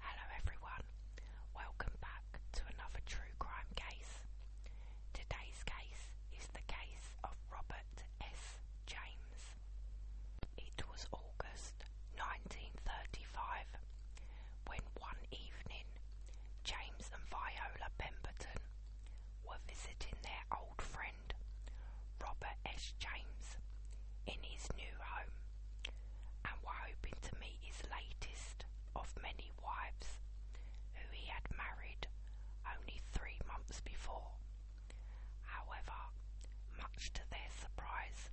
Hello everyone, welcome back to another true crime case. Today's case is the case of Robert S. James. It was August 1935 when one evening James and Viola Pemberton were visiting their old friend Robert S. James in his new home and were hoping to meet his latest of many wives, who he had married only three months before. However, much to their surprise,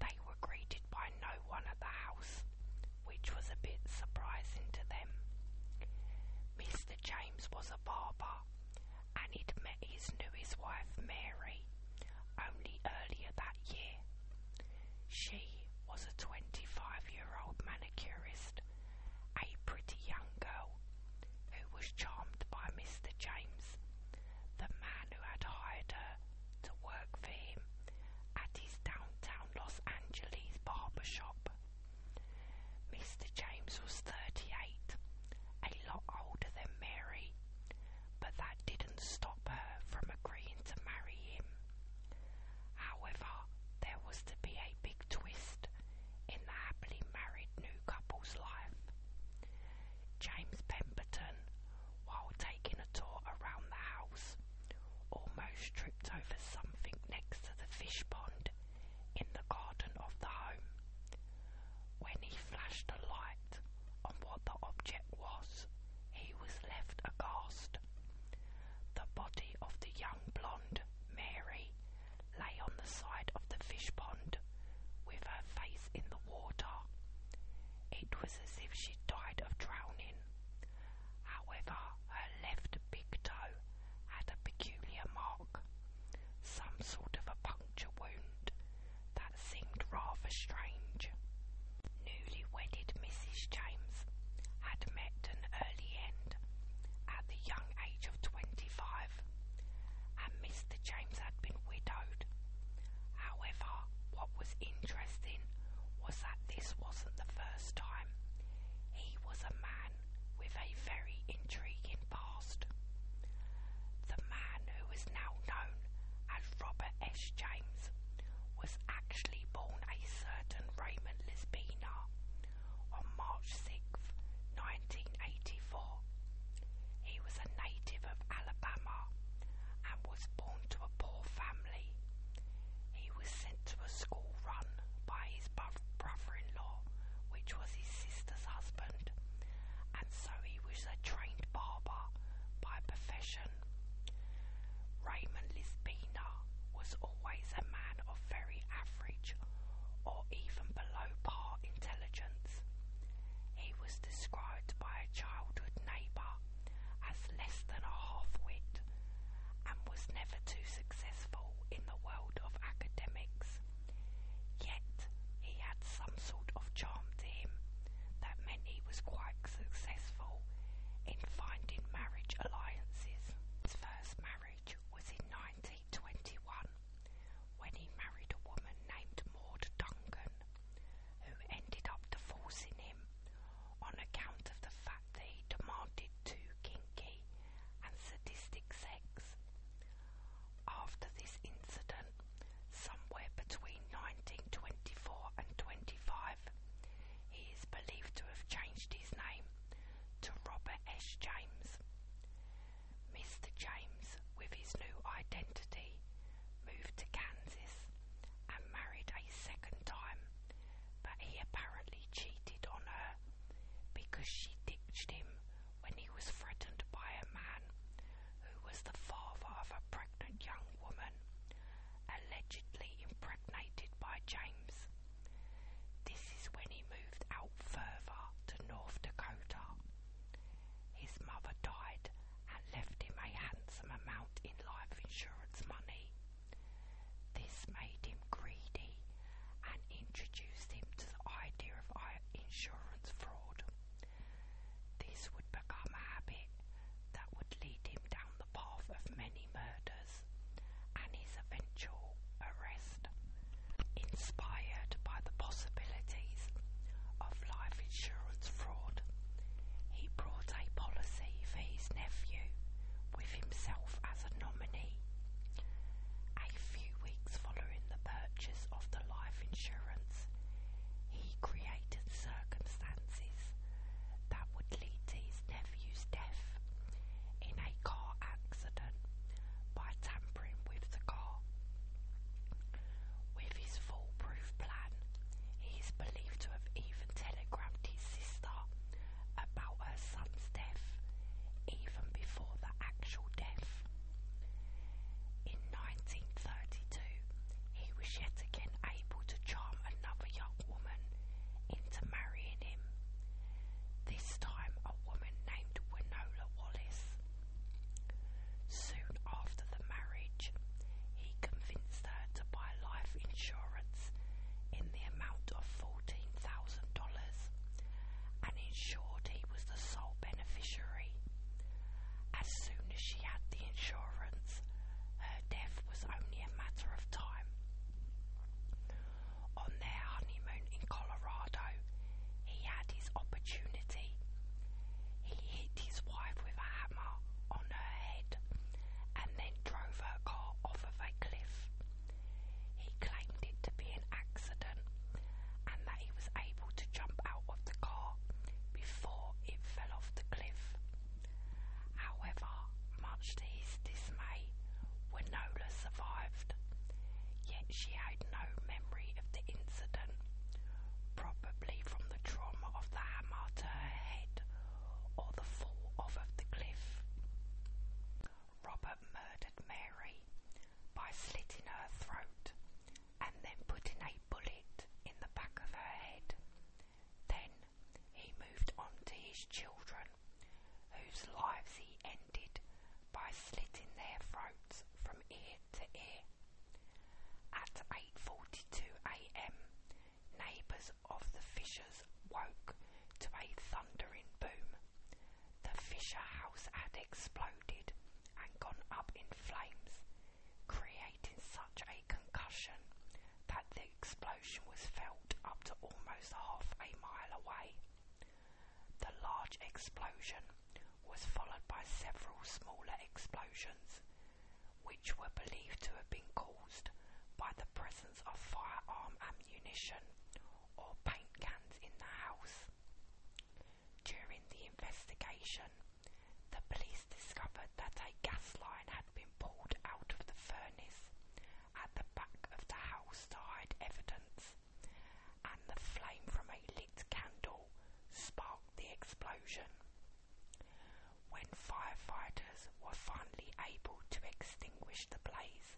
they were greeted by no one at the house, which was a bit surprising to them. Mr. James was a barber, and he'd met his newest wife, Mary, only earlier that year. She was a 25 year old manicurist, a pretty young girl, who was charmed by Mr. James, the man who had hired her to work for him at his downtown Los Angeles barber shop. Mr. James was 38, a lot older than Mary, but that didn't stop her from agreeing to marry him. However, there was to be a big twist in the happily married new couple's life. James Pemberton, while taking a tour around the house, almost tripped over something next to the fish pond in the garden of the home, when he flashed a light on what the object was, he was left aghast. The body of the young blonde, Mary, lay on the side of the fish pond with her face in the water. It was as if she died of drowning. However, her left big toe had a peculiar mark some sort of a puncture wound that seemed rather strange. Newly Mrs. James had met an early end at the young age of twenty five, and Mr. James had been widowed. However, what was interesting was that this wasn't the first time. He was a man with a very intriguing past. The man who is now known as Robert S. James was actually born a certain Raymond Lisbina on March 6, 1984. He was a native of Alabama and was born to a poor family. He was sent to a school run by his brother in law, which was his sister's husband, and so he was a trained barber by profession. Raymond Lisbina was always a man of very average or even below par intelligence. He was described by a childhood neighbour as less than a half wit and was never too successful in the world of academics. Yet, he had some sort of charm to him that meant he was quite successful in finding marriage alliances. His first marriage was in 1921 when he married a woman named Maud Duncan, who ended up divorcing him on account of the fact that he demanded too kinky and sadistic sex sex. After this incident, somewhere between 1924 and 25, he is believed to have changed his name to Robert S. James. Mr. James, with his new identity, moved to Kansas and married a second time, but he apparently cheated on her because she ditched him when he was threatened by a man who was the father of a pregnant young woman, allegedly impregnated by James. This is when he moved out further to North Dakota. His mother died and left him a handsome amount in life insurance money. This made him greedy and introduced him to the idea of insurance fraud. This would become a habit that would lead him down the path of many murders and his eventual arrest. Inspired by the possibilities of life insurance fraud, he brought a policy for his nephew with himself as a nominee a few weeks following the purchase of the life insurance, he created circumstances that would lead to his nephew's death in a car accident by tampering with the car. With his foolproof plan, he is believed to have even telegrammed his sister about her son's death, even before the actual death. In 1932, he was yet again able to charm another young woman into marrying him, this time a woman named Winola Wallace. Soon after the marriage, he convinced her to buy life insurance in the amount of $14,000 and ensured he was the sole beneficiary. As soon as she had the insurance, her death was only a matter of time. On their honeymoon in Colorado, he had his opportunity. He hit his wife with a hammer on her head and then drove her car off of a cliff, he claimed it to be an accident and that he was able to jump out of the car before it fell off the cliff. However, much to his dismay, Winola survived, yet she had no memory of the incident, probably from the trauma of the hammer to her head or the fall off of the cliff. Robert murdered Mary by slitting her throat and then putting a bullet in the back of her head. Then he moved on to his children, whose lives he ended by slitting their throats from ear to ear. At 8:42 a.m., neighbours of the Fishers woke to a thundering boom. The Fisher house had exploded and gone up in flames, creating such a concussion that the explosion was felt up to almost half a mile away. The large explosion was followed by several smaller explosions, which were believed to have been caused by the presence of firearm ammunition or paint cans in the house. During the investigation, the police discovered that a gas line had been pulled out of the furnace at the back of the house to hide evidence, and the flame from a lit candle sparked the explosion. When firefighters were finally able to extinguish the blaze,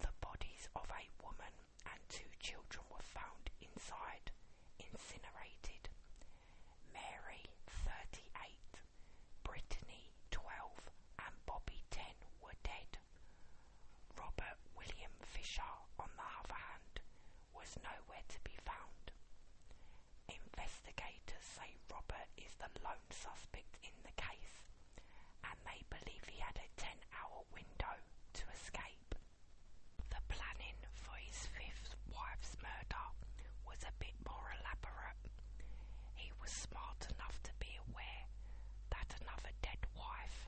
the bodies of a woman and two children were found inside, incinerated. Mary, 38, Brittany, 12, and Bobby, 10, were dead. Robert William Fisher, on the other hand, was nowhere to be found. Investigators say Robert is the lone suspect in the case, and they believe he had a 10 hour window to escape. The planning for his fifth wife's murder was a bit more elaborate. He was smart enough to be aware that another dead wife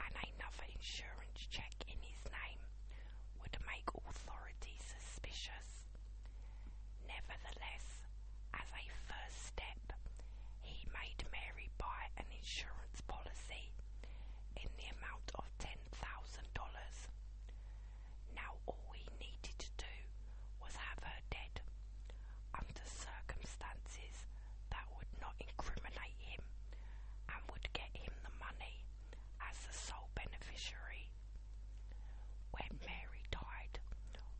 and another insurance check in his name would make authorities suspicious. Nevertheless, as a first step, he made Mary buy an insurance policy in the amount of $10,000. Now, all he needed to do was have her dead under circumstances that would not incriminate him and would get him the money as the sole beneficiary when Mary died,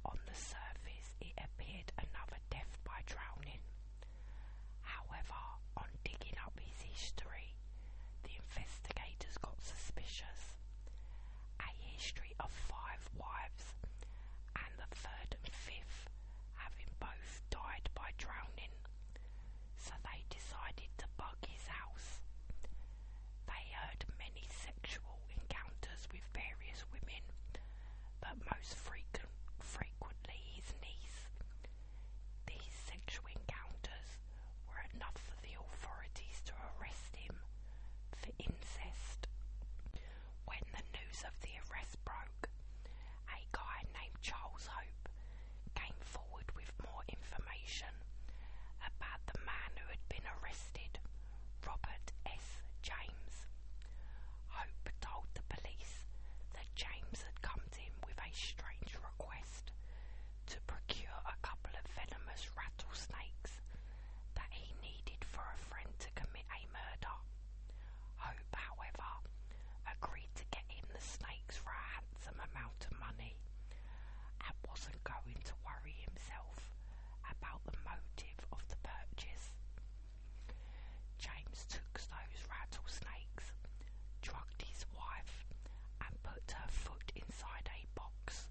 on the surface it appeared another death by drowning. However, on digging up his history, the investigators got suspicious. A history of five wives, and the third and fifth having both died by drowning so they decided to bug his house. They heard many sexual encounters with various women, but most frequently his niece. These sexual encounters were enough for the authorities to arrest him for incest. When the news of the arrest broke, a guy named Charles Hope came forward with more information about the man who had been arrested, Robert S. James. Hope told the police that James had come to him with a strange request to procure a couple of venomous rattlesnakes that he needed for a friend to commit a murder. Hope, however, agreed to get him the snakes for handsome amount of money and wasn't going to worry himself about the motive of the purchase. James took those rattlesnakes, drugged his wife, and put her foot inside a box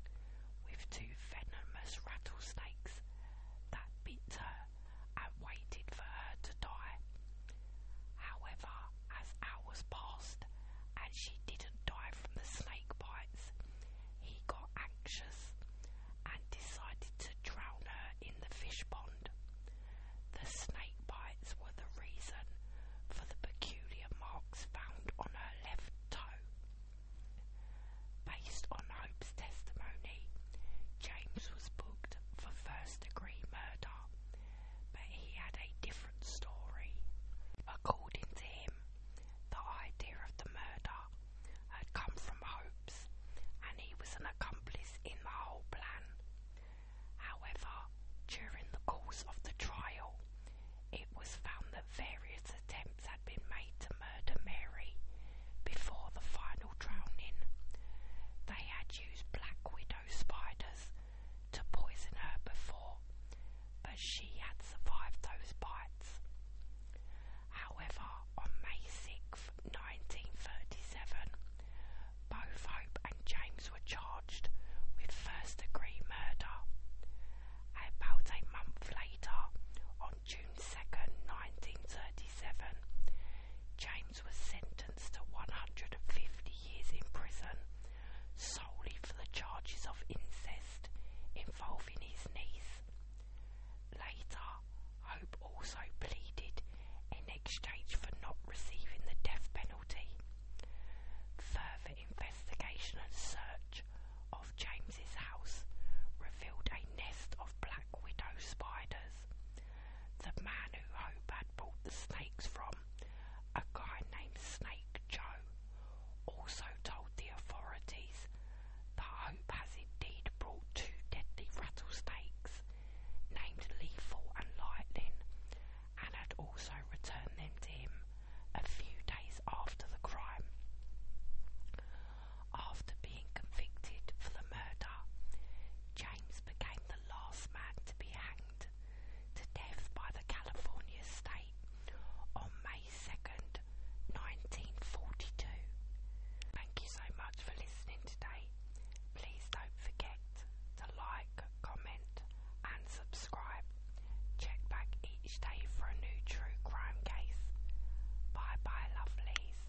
with two venomous rattlesnakes that bit her and waited for her to die. However, as hours passed, and she didn't die from the snake bites, he got anxious and decided to drown her in the fish pond. The snake bites were the reason for the peculiar marks found on her left toe. Based on Hope's testimony, James was booked for first degree murder but he had a different story. According to him, the idea of the murder had come from Hopes, and he was an accomplice in the whole plan. However, during the course of the trial, it was found that various attempts had been made to murder Mary before the final drowning. They had used black widow spiders to poison her before, but she had survived those bites. However, on May 6, 1937, both Hope and James were charged with first degree murder. About a month later, on June 2, 1937, James was sentenced to 150 years in prison solely for the charges of incest involving his niece. Later, Hope also pleaded in exchange for not receiving the death penalty. Further investigation and search of James's house revealed a nest of black widow spiders the man who Hope had pulled the snakes from, a guy named Snake Joe, also told the authorities that Hope has indeed brought two deadly rattlesnakes named Lethal and Lightning and had also returned them to him a few days after the crime. After being convicted for the murder, James became the last man to be hanged to death by the California state on May 2nd, 1942. Thank you so much for listening today. Please don't forget to like, comment, and subscribe. Check back each day for a new true crime case. Bye bye, lovelies.